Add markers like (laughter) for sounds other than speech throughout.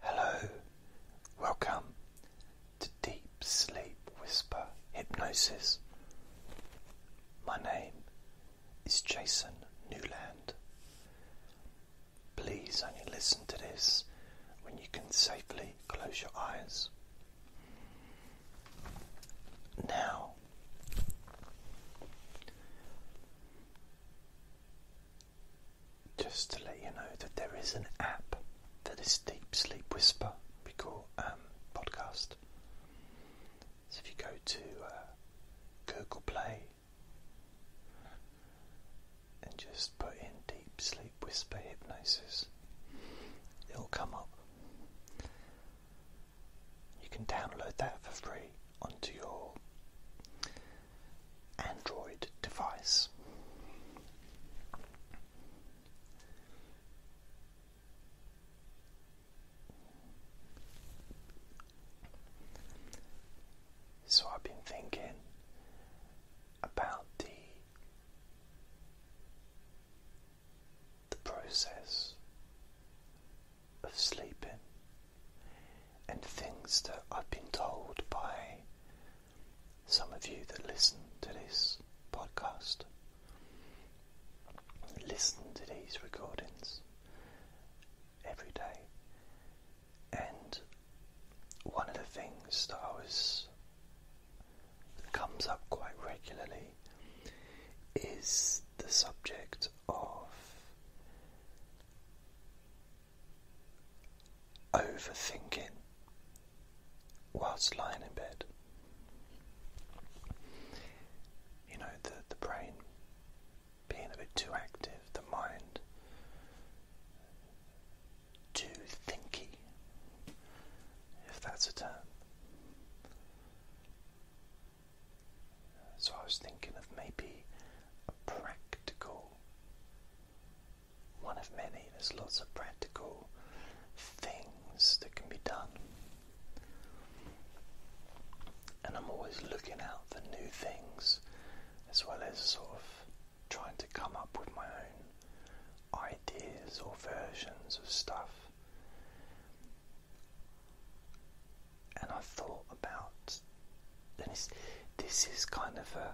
Hello, welcome to Deep Sleep Whisper Hypnosis. My name is Jason Newland. Please only listen to this when you can safely close your eyes. Now, just to let you know that there is an app that is Deep Sleep Whisper we um, podcast. So if you go to uh, Google Play and just put in Deep Sleep Whisper Hypnosis, it'll come up. You can download that for free onto your Android device. So I've been thinking about the the process of sleeping and things that I've been told by some of you that listen to this podcast, listen to these recordings every day. And one of the things that I was comes up quite regularly is the subject of overthinking whilst lying in bed. You know, the, the brain being a bit too active, the mind too thinky, if that's a term. So I was thinking of maybe a practical one of many. There's lots of practical things that can be done. And I'm always looking out for new things as well as sort of trying to come up with my own ideas or versions of stuff. And I thought about that's this is kind of a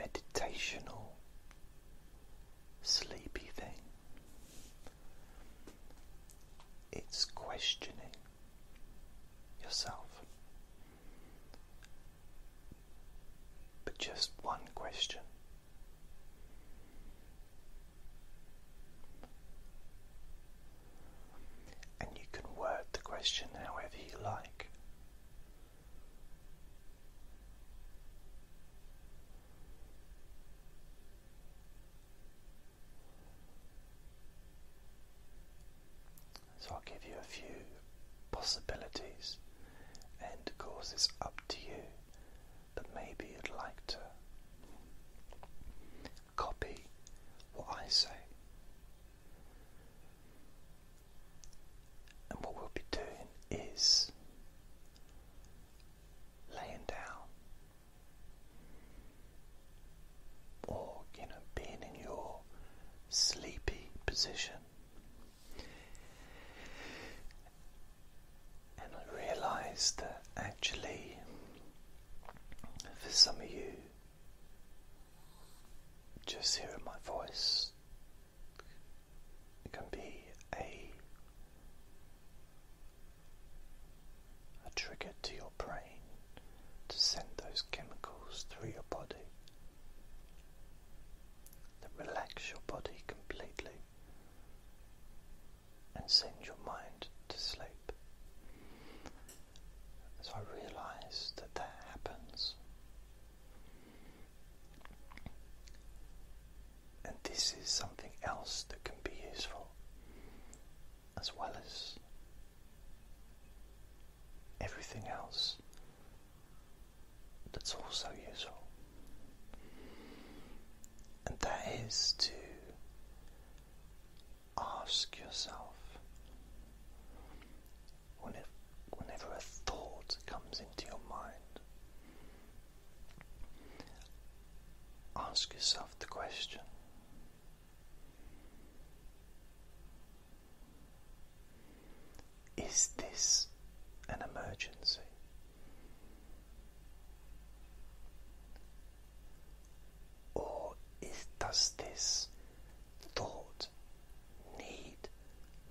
meditational sleepy thing. It's questioning yourself. But just one question and you can word the question however you like. So I'll give you a few possibilities, and of course, it's up to you, but maybe you'd like to copy what I say. And what we'll be doing is laying down or, you know, being in your sleepy position. And I realised that actually for some of you, just hearing my voice can be a a trigger to your brain to send those chemicals through your body that relax your body completely and send your mind to sleep. So I realize that that happens. And this is something else that can be useful, as well as everything else that's also useful. And that is to ask yourself whenever, whenever a thought comes into your mind, ask yourself the question. Is this an emergency? Or does this thought need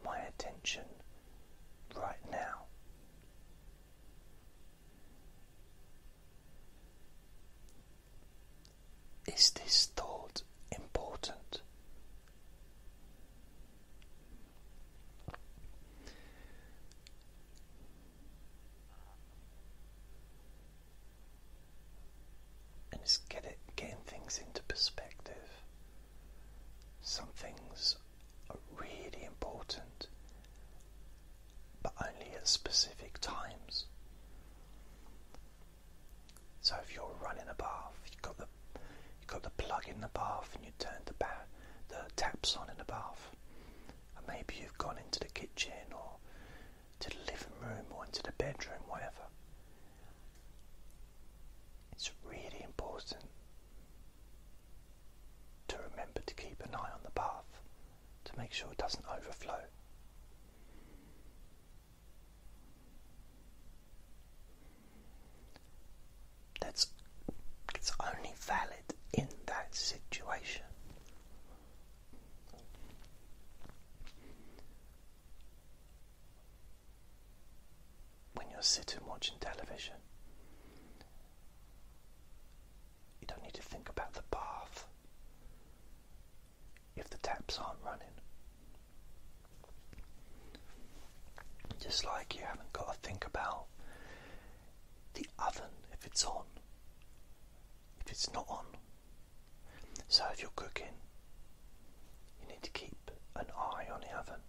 my attention right now? Is this thought important? and just get it, getting things into perspective. Some things are really important, but only at specific times. So if you're running a bath, you've got the you got the plug in the bath, and you turn the the taps on in the bath, and maybe you've gone into the kitchen or to the living room or into the bedroom, whatever. It's really important to remember to keep an eye on the bath to make sure it doesn't overflow. That's it's only valid in that situation. When you're sitting watching television, you don't need to think about the bath if the taps aren't running. Just like you haven't got to think about the oven if it's on if it's not on. So if you're cooking, you need to keep an eye on the oven.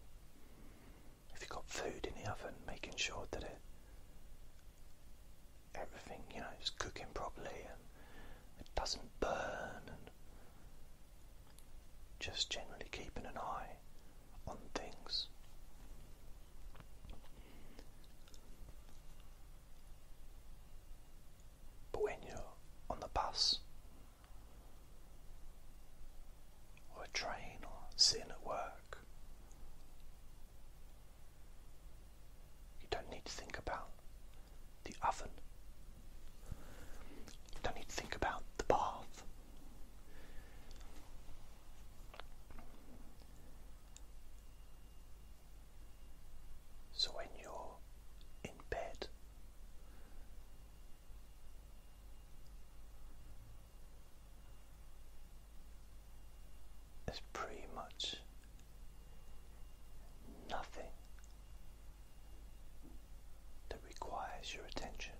If you've got food in the oven, making sure that it everything you know is cooking properly and it doesn't burn and just generally keeping an eye on things. But when you're on the bus or a train or sitting at work, you don't need to think about the oven. You don't need to think about the bath. So when you're in bed, there's pretty much nothing that requires your attention.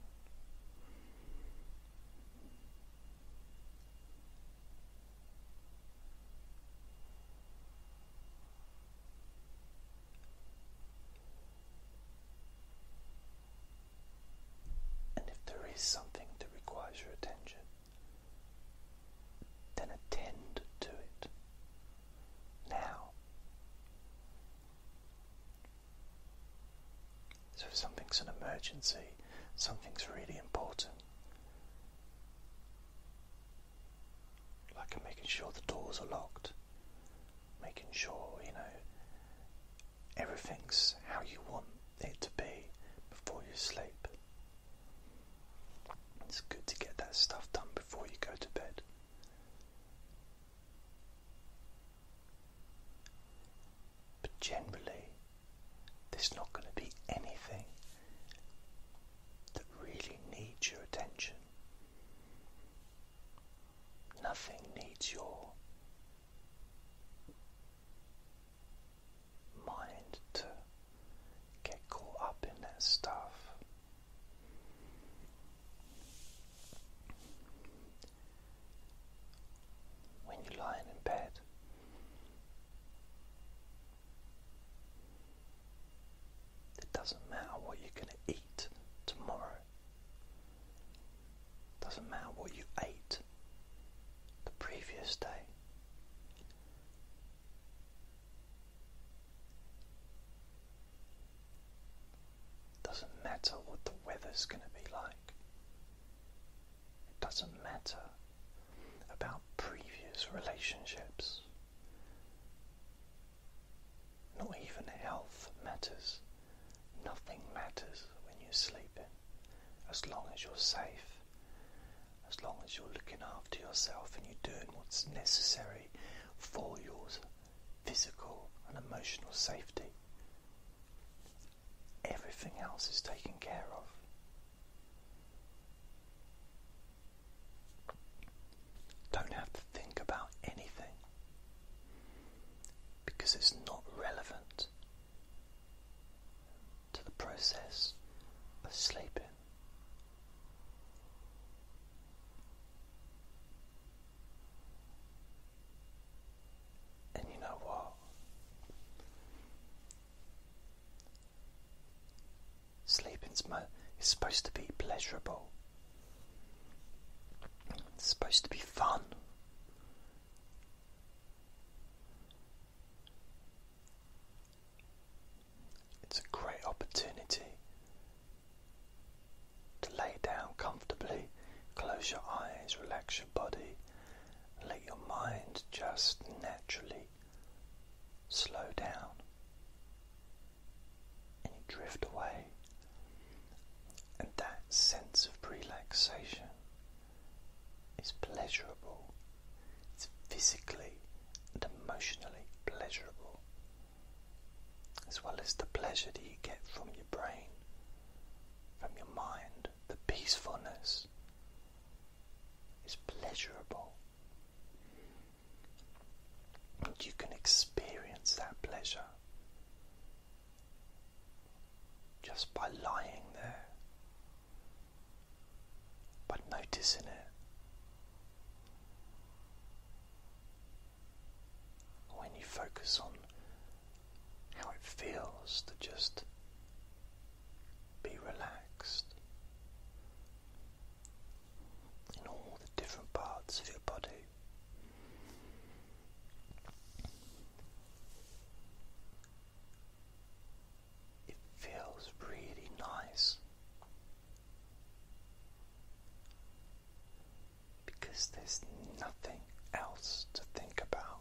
And if there is something that requires your attention, then attend to it now. So, if something's an emergency, something's really important, like making sure the doors are locked, making sure, you know, everything's how you want it to be before you sleep. It's good to get that stuff done before you go to bed. But generally, there's not going to be anything that really needs your attention. Nothing needs your mind to get caught up in that stuff. When you're lying in bed, it doesn't matter what you're going to eat tomorrow. doesn't matter what you ate the previous day. doesn't matter what the weather's going to be like. It doesn't matter about previous relationships. Not even health matters. Nothing matters when you're sleeping. As long as you're safe, as long as you're looking after yourself and you're doing what's necessary for your physical and emotional safety, everything else is taken care of. Don't have to think about anything because it's not relevant to the process of sleeping. And you know what? Sleeping is supposed to be pleasurable. It's supposed to be fun. It's a great opportunity to lay down comfortably, close your eyes, relax your body, let your mind just naturally slow down and you drift away. And that sense of relaxation is pleasurable, it's physically and emotionally pleasurable, as well as the pleasure that you get from your brain, from your mind, the peacefulness, is pleasurable. And you can experience that pleasure just by lying there, by noticing it. When you focus on how it feels to just be relaxed in all the different parts of your body. It feels really nice because there's nothing else to think about.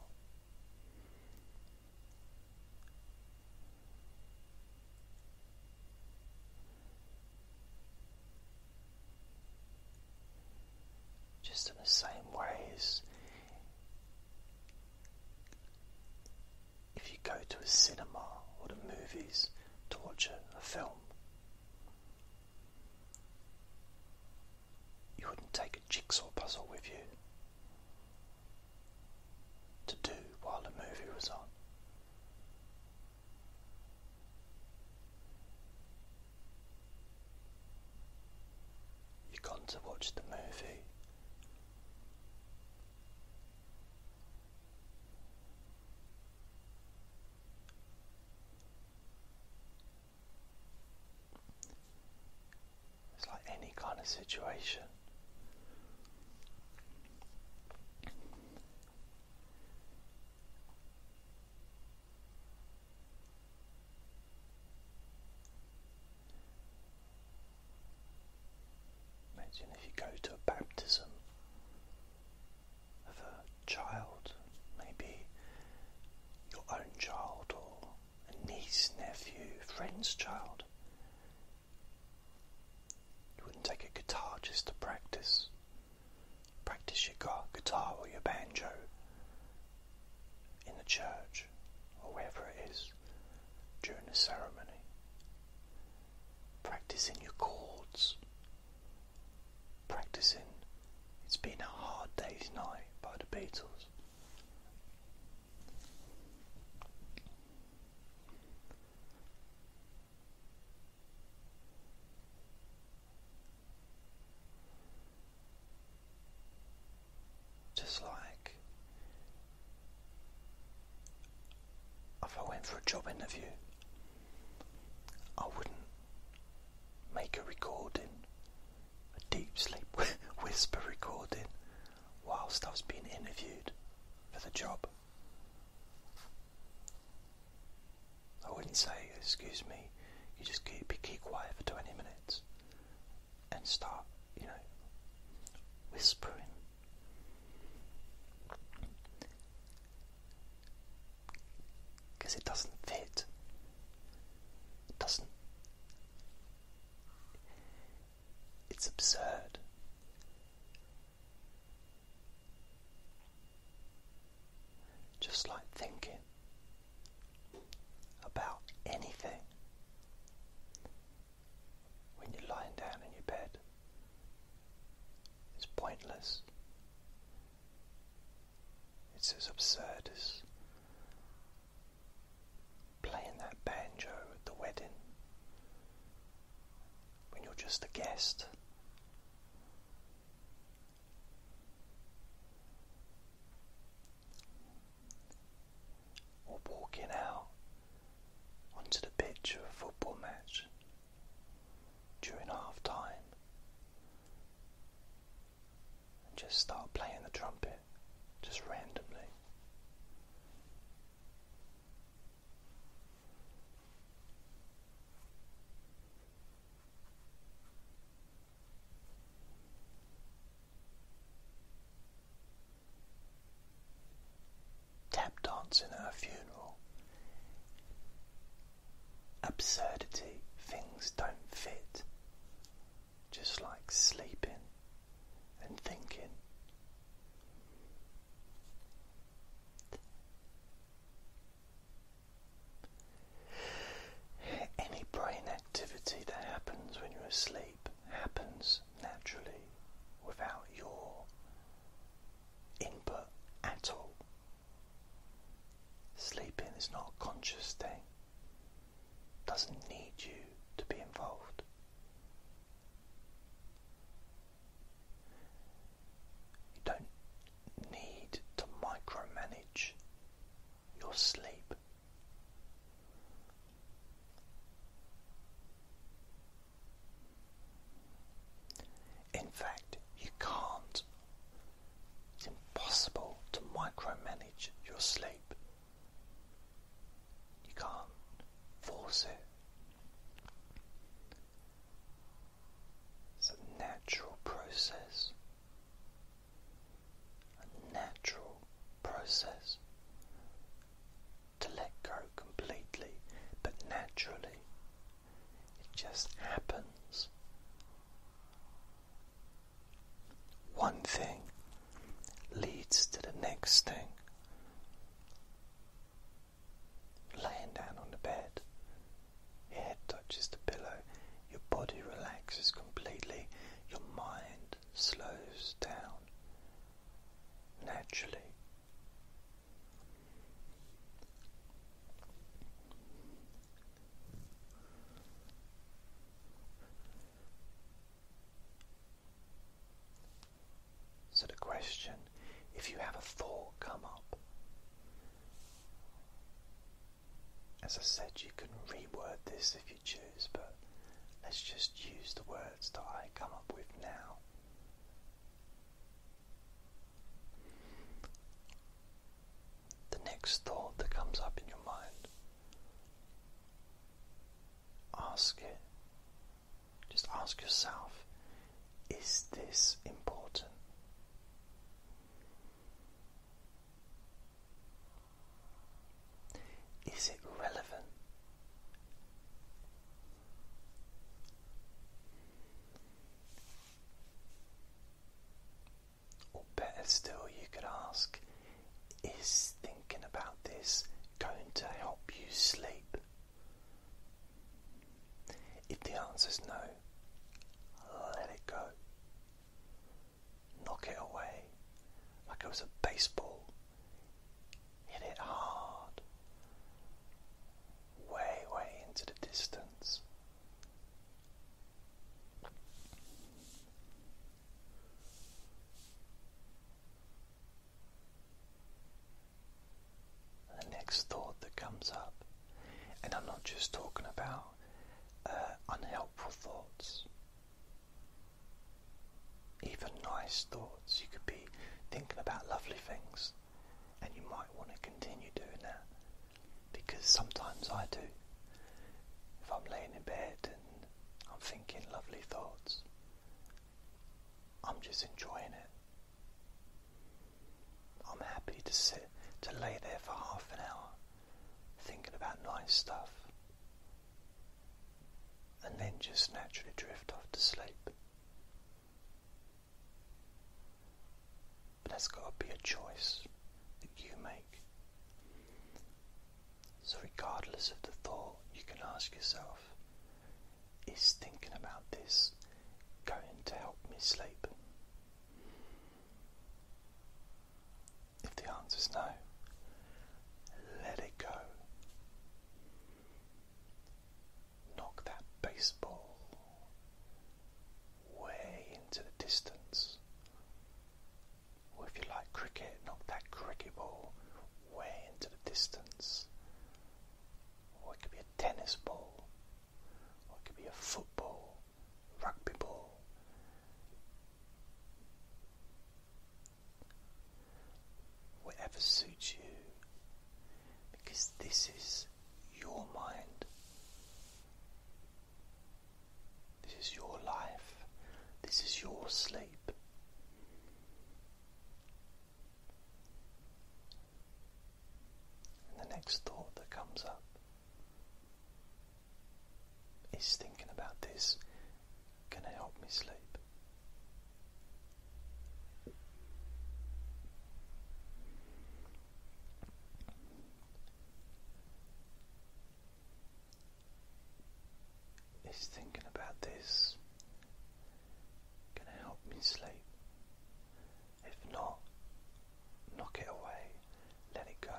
Just in the same way as if you go to a cinema or the movies to watch a film, you wouldn't take a jigsaw puzzle with you to do while the movie was on. You've gone to watch the movie. It's like any kind of situation. Imagine if you go to a baptism of a child, maybe your own child or a niece, nephew, friend's child. You wouldn't take a guitar just to practice. Practice your guitar or your banjo in the church or wherever it is during the ceremony. Practicing your chords. Practicing It's Been a Hard Day's Night by the Beatles. Just like if I went for a job interview, I wouldn't make a recording, a deep sleep (laughs) whisper recording whilst I was being interviewed for the job. I wouldn't say, excuse me, you just keep, keep quiet for 20 minutes and start, you know, whispering. Because it doesn't fit. It doesn't. It's absurd. Just like thinking about anything when you're lying down in your bed is pointless. It's as absurd as playing that banjo at the wedding when you're just a guest. Or walking out onto the pitch of a football match during half time and just start playing the trumpet just randomly. Tap dancing at a funeral. Absurdity, things don't fit just like sleeping and thinking. Any brain activity that happens when you're asleep happens naturally without your input at all. Sleeping is not a conscious thing, doesn't need you to be involved. You don't need to micromanage your sleep. In fact, you can't. It's impossible to micromanage your sleep. You can't force it. It's a natural process. A natural process to let go completely, but naturally. It just happens. One thing leads to the next thing. Laying down on the bed, your head touches the pillow, your body relaxes completely, your mind slows down naturally. So the question, if you have a thought come up, as I said, you can reword this if you choose, but let's just use the words that I come up with now. The next thought that comes up in your mind Ask it. Just ask yourself is this important? Is it relevant? Or better still, you could ask is thinking about this going to help you sleep? If the answer is no, let it go. Knock it away like it was a baseball. Hit it hard, way, way into the distance. The next thought that comes up, and I'm not just talking about uh, unhelpful thoughts, even nice thoughts. You could be thinking about lovely things, and you might want to continue doing that because sometimes I do. If I'm laying in bed I'm thinking lovely thoughts. I'm just enjoying it. I'm happy to sit, to lay there for half an hour thinking about nice stuff and then just naturally drift off to sleep. But that's got to be a choice that you make. So, regardless of the thought, you can ask yourself Is thinking about this going to help me sleep? If the answer is no, let it go. Knock that baseball way into the distance or if you like cricket, knock that cricket ball way into the distance. Or it could be a tennis ball. Or it could be a football, rugby ball. Whatever suits you. Because this is your mind. This is your life. This is your sleep. And the next thought that comes up is thinking about this going to help me sleep. Is thinking about this going to help me sleep? If not, knock it away, let it go.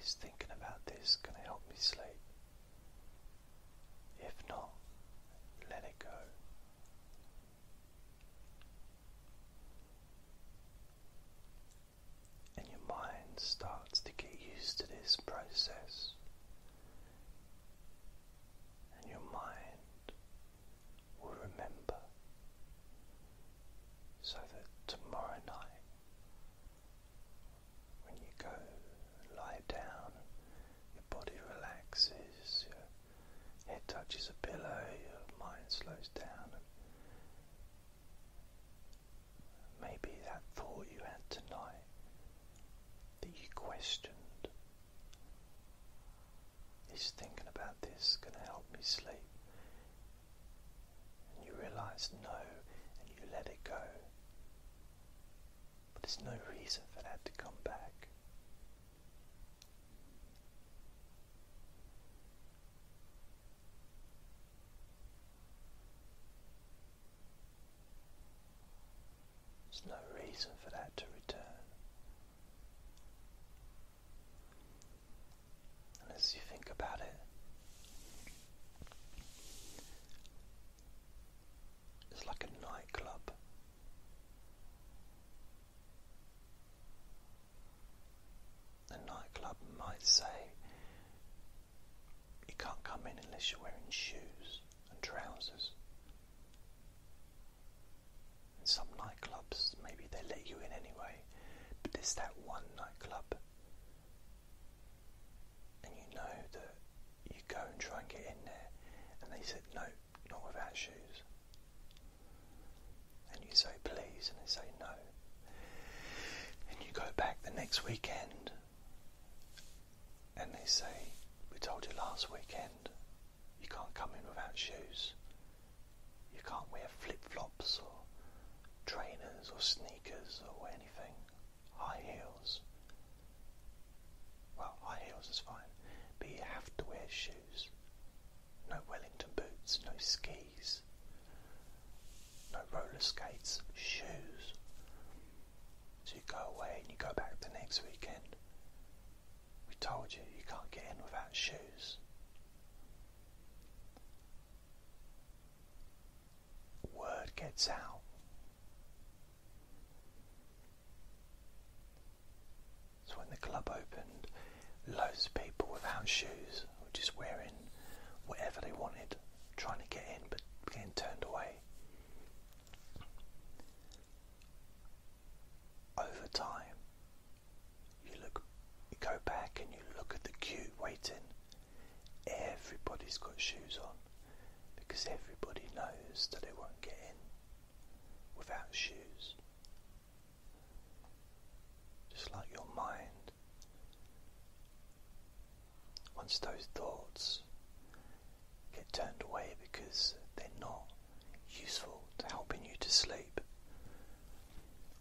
Is thinking about this going to help me sleep? If not, let it go. And your mind starts to get used to this process, and your mind will remember so that tomorrow night, when you go lie down, your body relaxes, your head touches a pillow, your mind slows down. Maybe that thought you had tonight that you questioned. Is thinking about this going to help me sleep? And you realize no, and you let it go. But there's no reason for that to come back. There's no reason for that to return. And as you think about it, it's like a nightclub the nightclub might say, You can't come in unless you're wearing shoes and trousers. In some nightclubs, maybe they let you in anyway, but there's that one nightclub, and you know that you go and try and get in there, and they said, No, not without shoes and you say please and they say no. And you go back the next weekend and they say, We told you last weekend you can't come in without shoes. You can't wear flip flops or trainers or sneakers or anything. High heels. Well, high heels is fine, but you have to wear shoes no Wellington boots, no skis, no roller skates, shoes. So you go away and you go back the next weekend. We told you you can't get in without shoes. Word gets out. So when the club opened, loads of people without shoes were just wearing whatever they wanted, trying to get in but getting turned away. Over time, you look, you go back and you look at the queue waiting. Everybody's got shoes on because everybody knows that they won't get in without shoes just like your mind. Once those thoughts get turned away because they're not useful to helping you to sleep,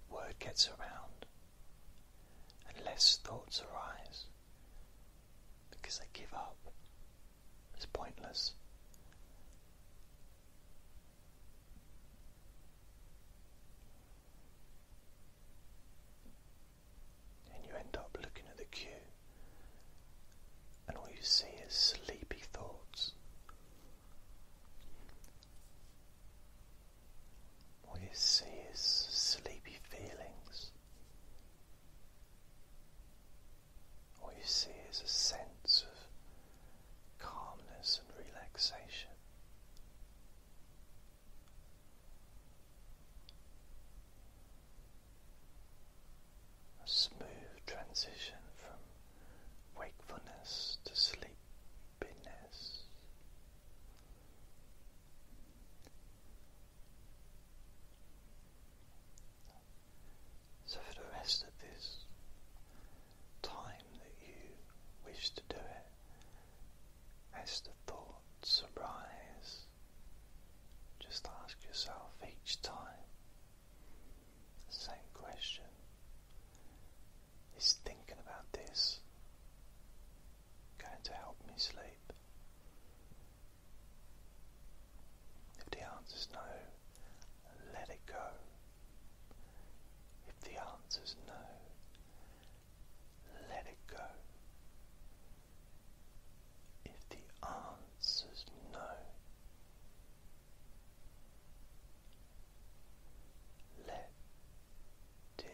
word gets around and less thoughts arise because they give up. It's pointless. And you end up looking at the queue, and all you see is sleepy thoughts. All you see is sleepy feelings. All you see is a sense of calmness and relaxation. A smooth transition from wakefulness to sleepiness. So, for the rest of this time that you wish to do it. As the thoughts arise, just ask yourself each time the same question. Is thinking about this going to help me sleep? If the answer is no, let it go. If the answer's no, let it go. If the answer's no, let it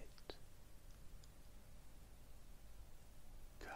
go.